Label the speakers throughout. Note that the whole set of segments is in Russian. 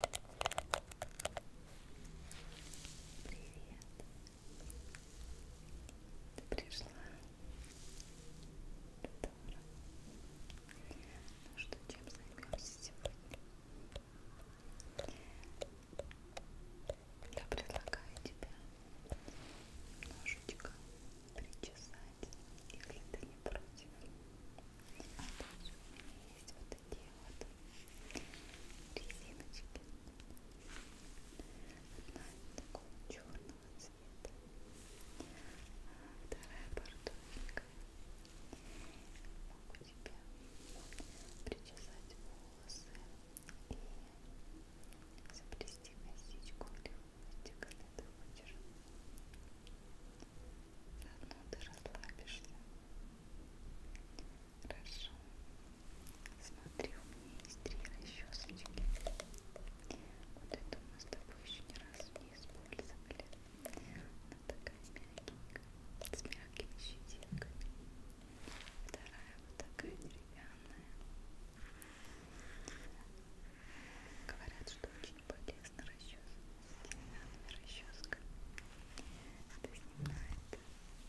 Speaker 1: Привет. Ты пришла? Здорово. Ну что, чем займемся сегодня? Я предлагаю тебе немножечко причесать, если ты не против. А то у меня есть вот такие вот резиночки. Одна такого черного цвета, а вторая бордовенькая. Могу тебе причесать волосы и заплести косичку или хвостик, когда ты хочешь. Заодно ну, ты расслабишься. Хорошо. Смотри, у меня есть три расчесочки. Вот эту мы с тобой еще ни разу не использовали. Она такая мягенькая, с мягкими щетинками. Вторая вот такая деревянная. Говорят, что у очень полезна расческа, деревянная расческа. Это снимает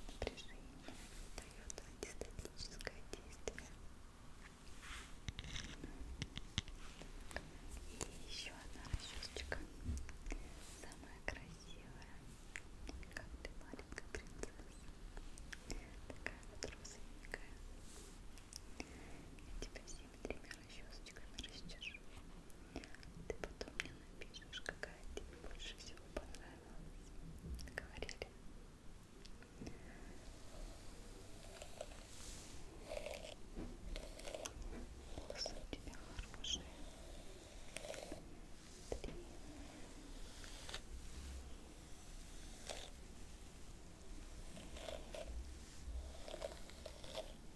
Speaker 1: напряжение, дает антистатическое действие. И еще одна расчесочка, самая красивая, как ты маленькая принцесса, такая вот розовенькая. Я тебя всеми тремя расчесочками расчешу. Ты потом мне напишешь, какая тебе больше всего понравилась. Говорили. Волосы у тебя хорошие. Три.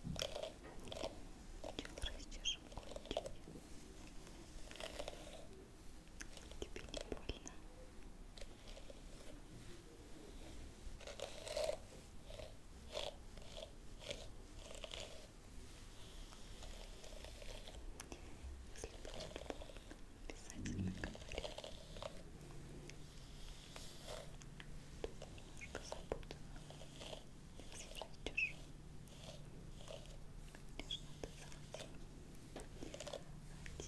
Speaker 1: Сначала растяжем кончики. Тебе не больно. Если будет больно, обязательно говори немножко запутано как сейчас чужим конечно, это золотим одеваем везде так,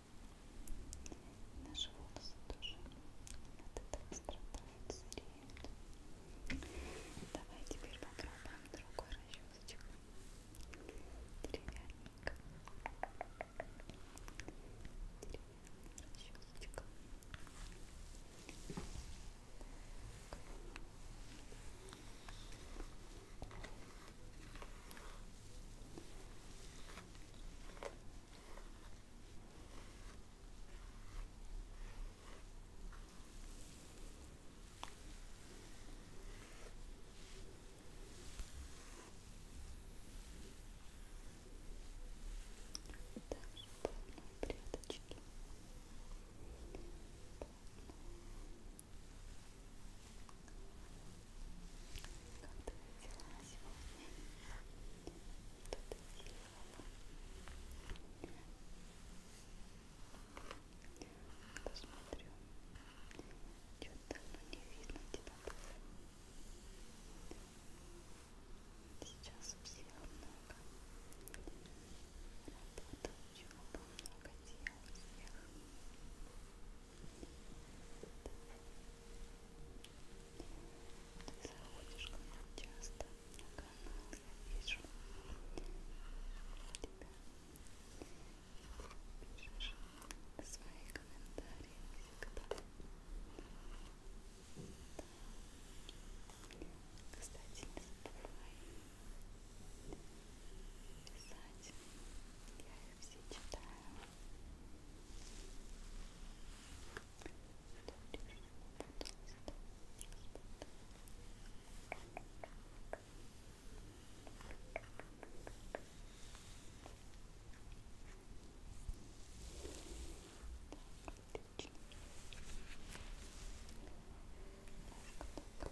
Speaker 1: Наши волосы тоже от этого страдают, зреют. Давай теперь попробуем другой расчесочек. Деревянненько. Деревянная расчесочка. Так.
Speaker 2: Также полные пряточки, полные как ты дела сегодня? Что ты делала? Посмотрю. Что-то давно не видно тебя было. Сейчас у всех много. Работа, учеба, много дел у всех. Ты заходишь ко мне часто на канал, я вижу тебя. Ты пишешь свои комментарии всегда. Да. Кстати, не забывай писать. Я их все читаю. Так,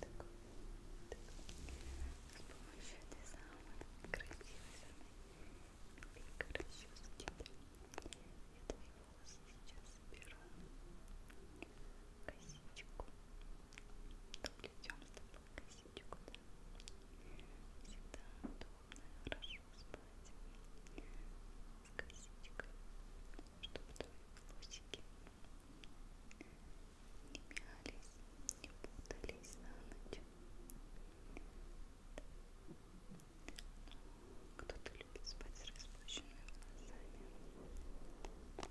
Speaker 2: так, так. С помощью этой самой красивой самой миленькой расчески я твои волосы сейчас соберу косичку доплетем с тобой косичку, да всегда удобно и хорошо спать с косичкой чтобы твои волосики не мялись, не путались на ночь. Кто-то любит спать с распущенными глазами. Итак,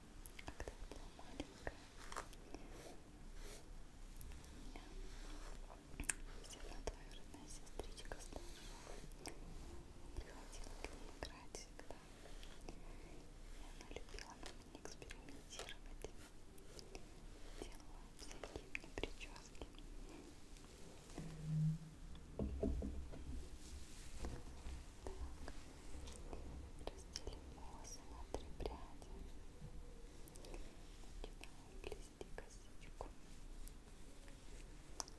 Speaker 2: когда я была маленькая, все равно твоя родная сестричка старшая приходила к ней играть всегда. И она любила на меня экспериментировать. Делала всякие мне прически. Так. Разделим волосы на три пряди. Начинаем плести косичку. Тебе такую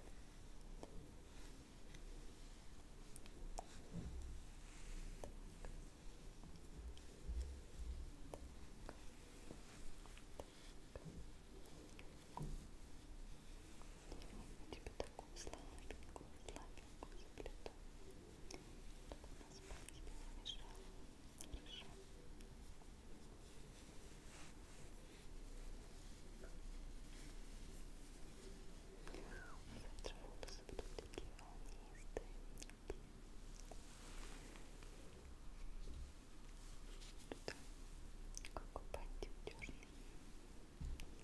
Speaker 2: слабенькую, слабенькую заплету. Слабенькую, Завтра волосы будут такие волнистые. Тут как упасть удержно. Ладно,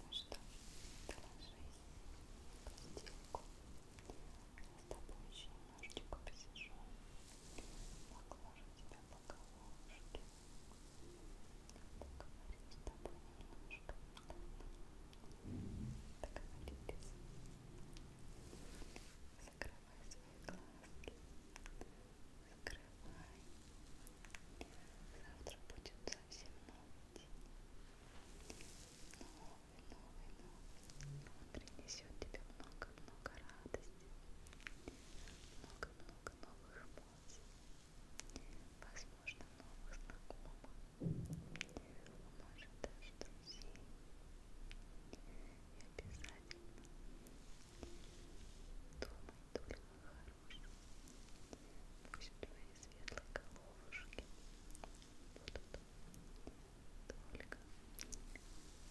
Speaker 2: Ну что, доложись постельку. Я с тобой еще немножечко посижу. Поглажу тебя по головушке. Поговорим с тобой немножко. Договорились. Закрывай свои глазки. Закрывай свои глазки закрывай. Завтра будет совсем новый день. Новый, новый, новый. Он принесет тебе много-много радости. Много-много новых эмоций. Возможно, новых знакомых. Может, даже друзей. И обязательно думай только о Пусть твои светлоколовушки будут только самые светлые мысли,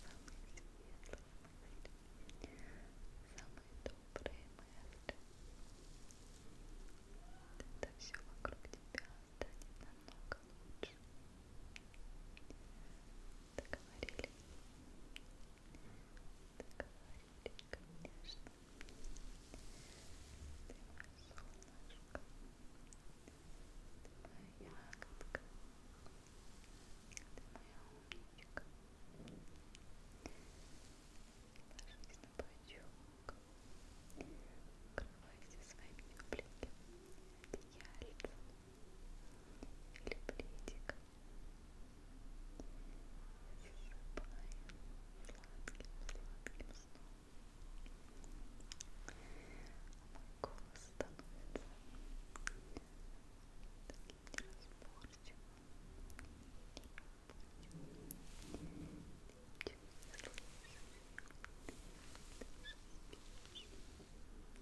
Speaker 2: самые добрые мысли. Тогда все вокруг тебя станет намного лучше. Договорились? Договорились конечно. Ты солнышко, ты моя ягодка, ты моя умничка. Ложись на бочок, укрывайся своими тепленькими одеяльцами или пледиком сладким сном. Мой голос становится таким неразборчивым. Ты ничего не слышишь. Ты же спишь. Ты